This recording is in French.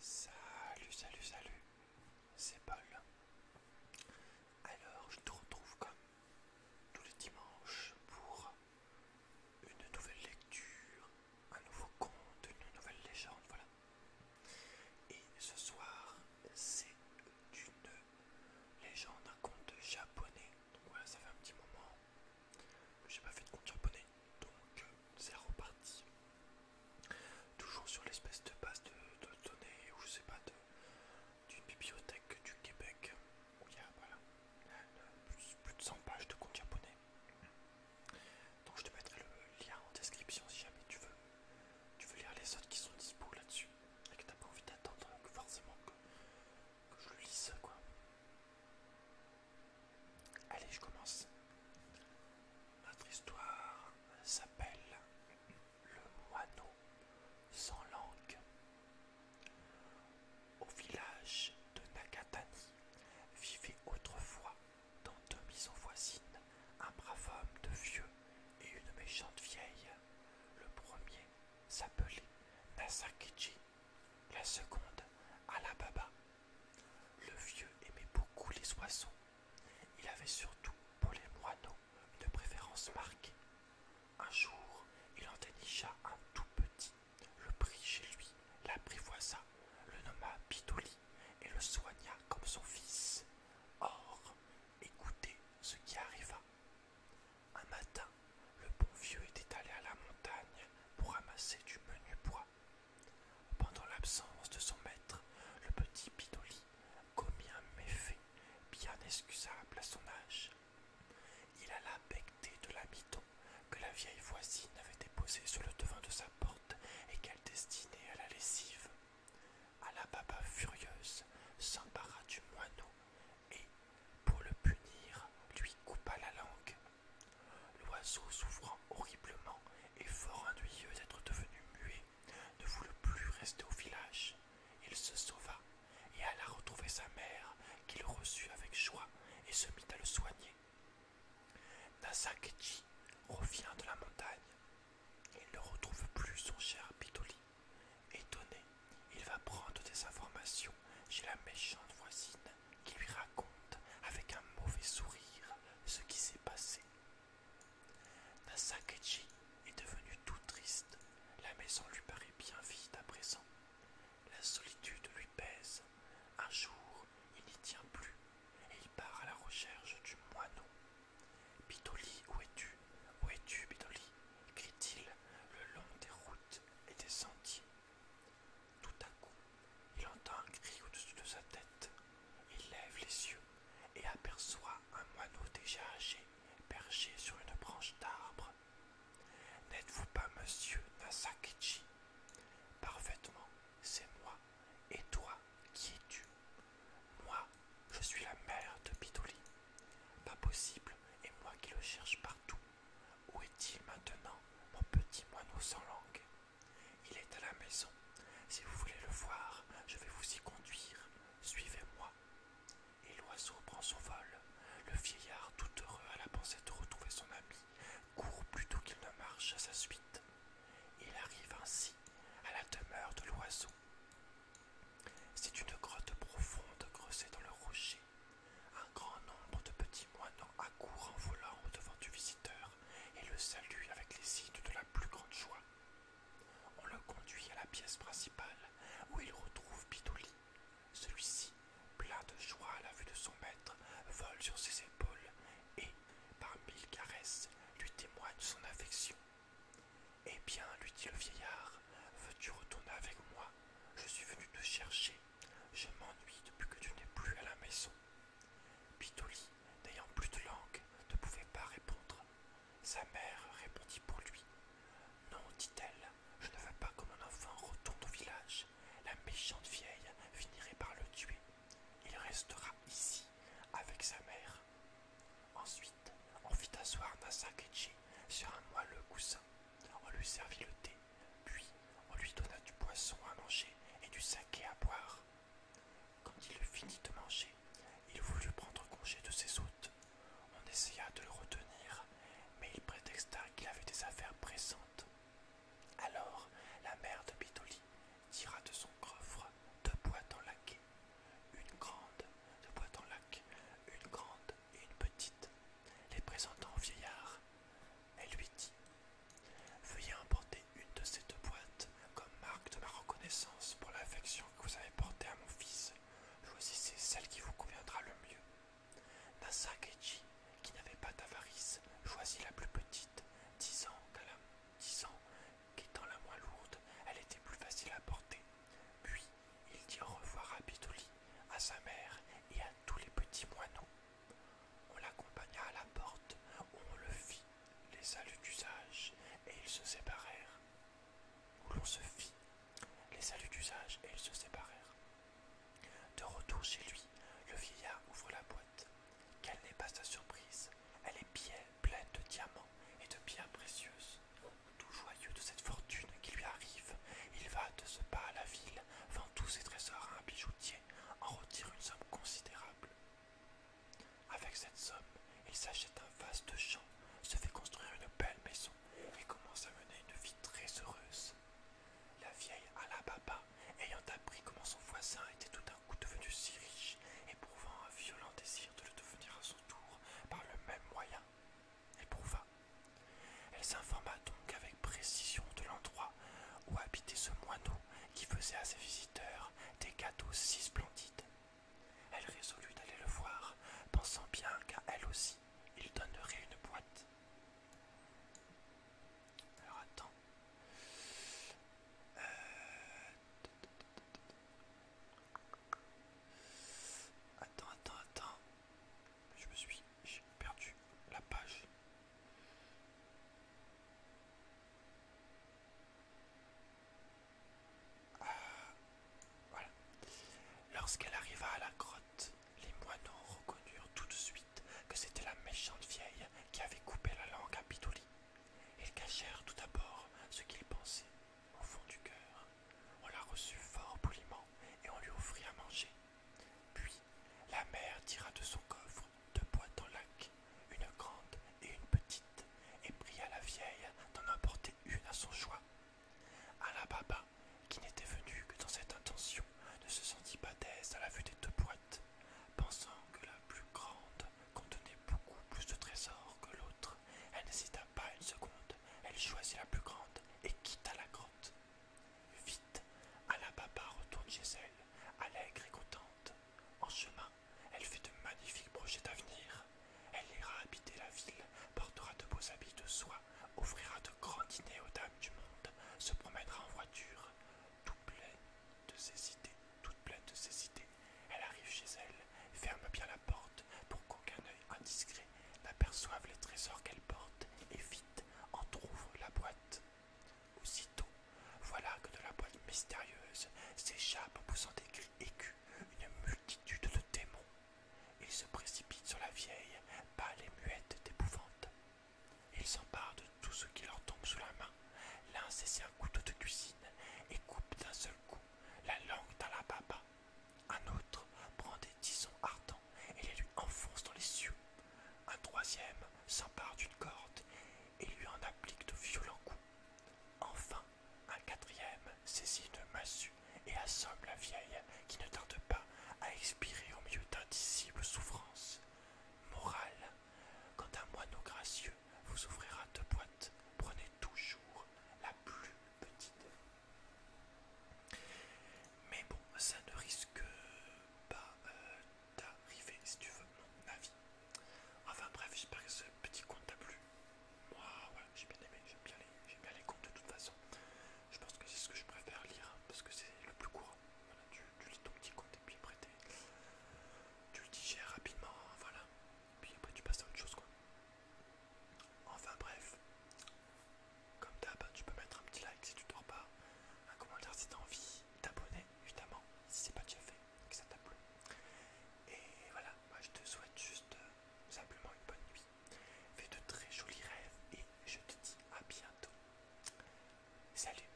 Salut, salut, salut, c'est Paul. Alors, je te retrouve comme tous les dimanches pour une nouvelle lecture, un nouveau conte, une nouvelle légende, voilà. Et ce soir, c'est une légende, un conte japonais. Donc voilà, ça fait un petit moment j'ai pas fait de compte japonais, donc euh, c'est reparti. Toujours sur l'espèce de base de, données, ou je sais pas, d'une bibliothèque du Québec, où il y a voilà, plus, de 100 pages de compte japonais. Donc je te mettrai le lien en description si jamais tu veux, tu veux lire les autres qui sont dispo là-dessus et que t'as pas envie d'attendre euh, forcément que, je le lise quoi. Allez, je commence. Notre histoire s'appelle Le moineau sans langue. Au village de Nakatani vivait autrefois, dans deux maisons voisines, un brave homme de vieux et une méchante vieille. Le premier s'appelait Nasakichi la seconde à la baba. Le vieux aimait beaucoup les oiseaux. Il avait surtout pour les moineaux une préférence marquée. Un jour, il en dénicha un tout petit, le prit chez lui, l'apprivoisa, le nomma Bidoli et le soigna comme son fils. Or, écoutez ce qui arriva. Un matin, le bon vieux était allé à la montagne pour ramasser du menu bois. Pendant l'absence de son maître, le petit Pidoli commit un méfait bien excusable à son âge. Il alla becter de la que la vieille voisine avait déposée sur le devant de sa porte et qu'elle destinait à la lessive. la Alababa furieuse s'empara du moineau et, pour le punir, lui coupa la langue L'oiseau, souffrant horriblement et fort ennuyeux d'être devenu muet, ne voulut plus rester au village. Il se sauva et alla retrouver sa mère, qui le reçut avec joie et se mit à le soigner. Nasakechi revient de la montagne. Il ne retrouve plus son cher Pitoli. Étonné, il va prendre des informations chez la méchante voisine qui lui raconte avec un mauvais sourire ce qui s'est passé. Nasakeji est devenu tout triste. La maison lui paraît bien vide à présent. La solitude lui pèse. Un jour, il n'y tient plus et il part à la recherche du moineau. Bidoli, où es-tu Où es-tu, Bidoli crie-t-il le long des routes et des sentiers. Tout à coup, il entend un cri au-dessus de sa tête. Il lève les yeux et aperçoit un moineau déjà âgé, perché sur une branche d'arbre. N'êtes-vous pas monsieur Nasakichi Parfaitement, c'est moi. Et toi, qui es-tu Moi, je suis la mère de Bidoli. Pas possible, et moi qui le cherche partout. Où est-il maintenant, mon petit moineau sans langue Il est à la maison. Si vous voulez le voir, je vais vous y conduire. Suivez-moi. Et l'oiseau prend son vol. Le vieillard, tout heureux à la pensée de retrouver son ami, court plutôt qu'il ne marche à sa suite. Il arrive ainsi à la demeure de l'oiseau. C'est une grotte profonde creusée dans le rocher un grand nombre de petits moineaux accourent en volant au-devant du visiteur et le saluent avec les signes de la plus grande joie. On le conduit à la pièce principale où il retrouve Bidoli. Celui-ci, plein de joie à la vue de son maître, vole sur ses épaules et, par mille caresses, lui témoigne son affection. Eh bien, lui dit le vieillard, Veux-tu retourner avec moi Je suis venu te chercher. Je m'ennuie depuis que tu n'es plus à la maison. Pitoli, n'ayant plus de langue, ne pouvait pas répondre. Sa mère répondit pour lui. Non, dit-elle, je ne veux pas que mon enfant retourne au village. La méchante vieille finirait par le tuer. Il restera ici avec sa mère. Ensuite, on fit asseoir nasa keji sur un moelleux coussin. On lui servit le thé, puis on lui donna du poisson à manger et du saké à boire. Quand il eut fini de manger, il voulut prendre congé de ses hôtes. On essaya de le retenir, mais il prétexta qu'il avait des affaires pressantes. Alors la mère de Bitoli tira de son coffre deux boîtes en laquais une grande de boîte en lac, une grande et une petite, les présentant au vieillard. Elle lui dit Veuillez emporter une de ces deux boîtes comme marque de ma reconnaissance pour l'affection que vous avez portée à mon fils. Choisissez celle qui vous conviendra le mieux. Nasa Keiji, qui n'avait pas d'avarice, choisit la plus petite, disant qu'étant la, la moins lourde, elle était plus facile à porter. Puis, il dit au revoir à Bidouli, à sa mère et à tous les petits moineaux. On l'accompagna à la porte où on le fit les saluts d'usage et ils se séparèrent. Où l'on se fit les saluts d'usage et ils se séparèrent. De retour chez lui, le vieillard ouvre la boîte. Quelle n'est pas sa surprise Elle est bien pleine de diamants et de pierres précieuses. Tout joyeux de cette fortune qui lui arrive, il va de ce pas à la ville, vend tous ses trésors à un bijoutier, en retire une somme considérable. Avec cette somme, il s'achète un vaste champ, se fait construire une belle maison et commence à mener une vie très heureuse. La vieille Alababa, ayant appris comment son voisin était tout d'un coup devenu si riche, éprouvant un violent désir de le devenir à par le même moyen, éprouva. Elle s'informa donc avec précision de l'endroit où habitait ce moineau qui faisait à ses visiteurs des cadeaux si splendides. Elle résolut d'aller le voir, pensant bien qu'à elle aussi, il donnerait une boîte. Alors attends. Euh, Attends, attends, attends. Je me suis... J'ai perdu la page. Ah, voilà. Lorsqu'elle arriva à la grotte, les moineaux reconnurent tout de suite que c'était la méchante vieille qui avait coupé la langue à Bidouli Ils cachèrent tout d'abord ce qu'ils pensaient au fond du cœur. On la reçut fort poliment et on lui offrit à manger. Puis la mère tira de son coffre deux boîtes en lac, une grande et une petite, et pria la vieille d'en emporter une à son choix. la Baba, qui n'était venu que dans cette intention, ne se sentit pas d'aise à la vue des deux boîtes, pensant que la plus grande contenait beaucoup plus de trésors que l'autre. Elle n'hésita pas une seconde, elle choisit la plus grande et quitta la grotte. Vite, Alababa retourne chez elle, allègre et contente. En chemin, elle fait de magnifiques projets d'avenir. Elle ira habiter la ville, portera de beaux habits de soie, offrira de grands dîners aux dames du monde, se promènera en voiture, tout plein de ses idées, toute pleine de ses idées. Elle arrive chez elle, ferme bien la porte pour qu'aucun œil indiscret n'aperçoive les trésors qu'elle porte et vite en trouve la boîte. Aussitôt, voilà que de la boîte mystérieuse s'échappe en poussant des cris aigus une multitude de démons. Ils se précipitent sur la vieille, pâle et muette d'épouvante. Ils s'emparent de tout ce qui leur tombe sous la main l'un saisit un couteau de cuisine et coupe d'un seul coup la langue d'un la Un autre prend des tisons ardents et les lui enfonce dans les yeux. Un troisième s'empare d'une corde et lui en applique de violents coups. Enfin, un quatrième saisit de massue et assomme la vieille qui ne tarde pas à expirer au milieu d'indicibles souffrances. Morale, quand un moineau gracieux vous ouvrira deux boîtes. Prenez toujours la plus petite. Mais bon, ça ne risque pas euh, d'arriver, si tu veux, mon avis. Enfin bref, j'espère que ce petit compte t'a plu. Moi, j'ai bien aimé, j'aime bien, les, comptes de toute façon. Je pense que c'est ce que je préfère lire, parce que c'est le plus courant. tu, lis ton petit compte et puis après tu le digères rapidement, voilà. Et puis après tu passes à autre chose quoi. Enfin bref, comme d'hab, tu peux mettre un petit like si tu dors pas, un commentaire si tu as envie, t'abonner évidemment si c'est pas déjà fait que ça t'a plu. Et voilà, moi je te souhaite juste euh, simplement une bonne nuit. Fais de très jolis rêves et je te dis à bientôt. Salut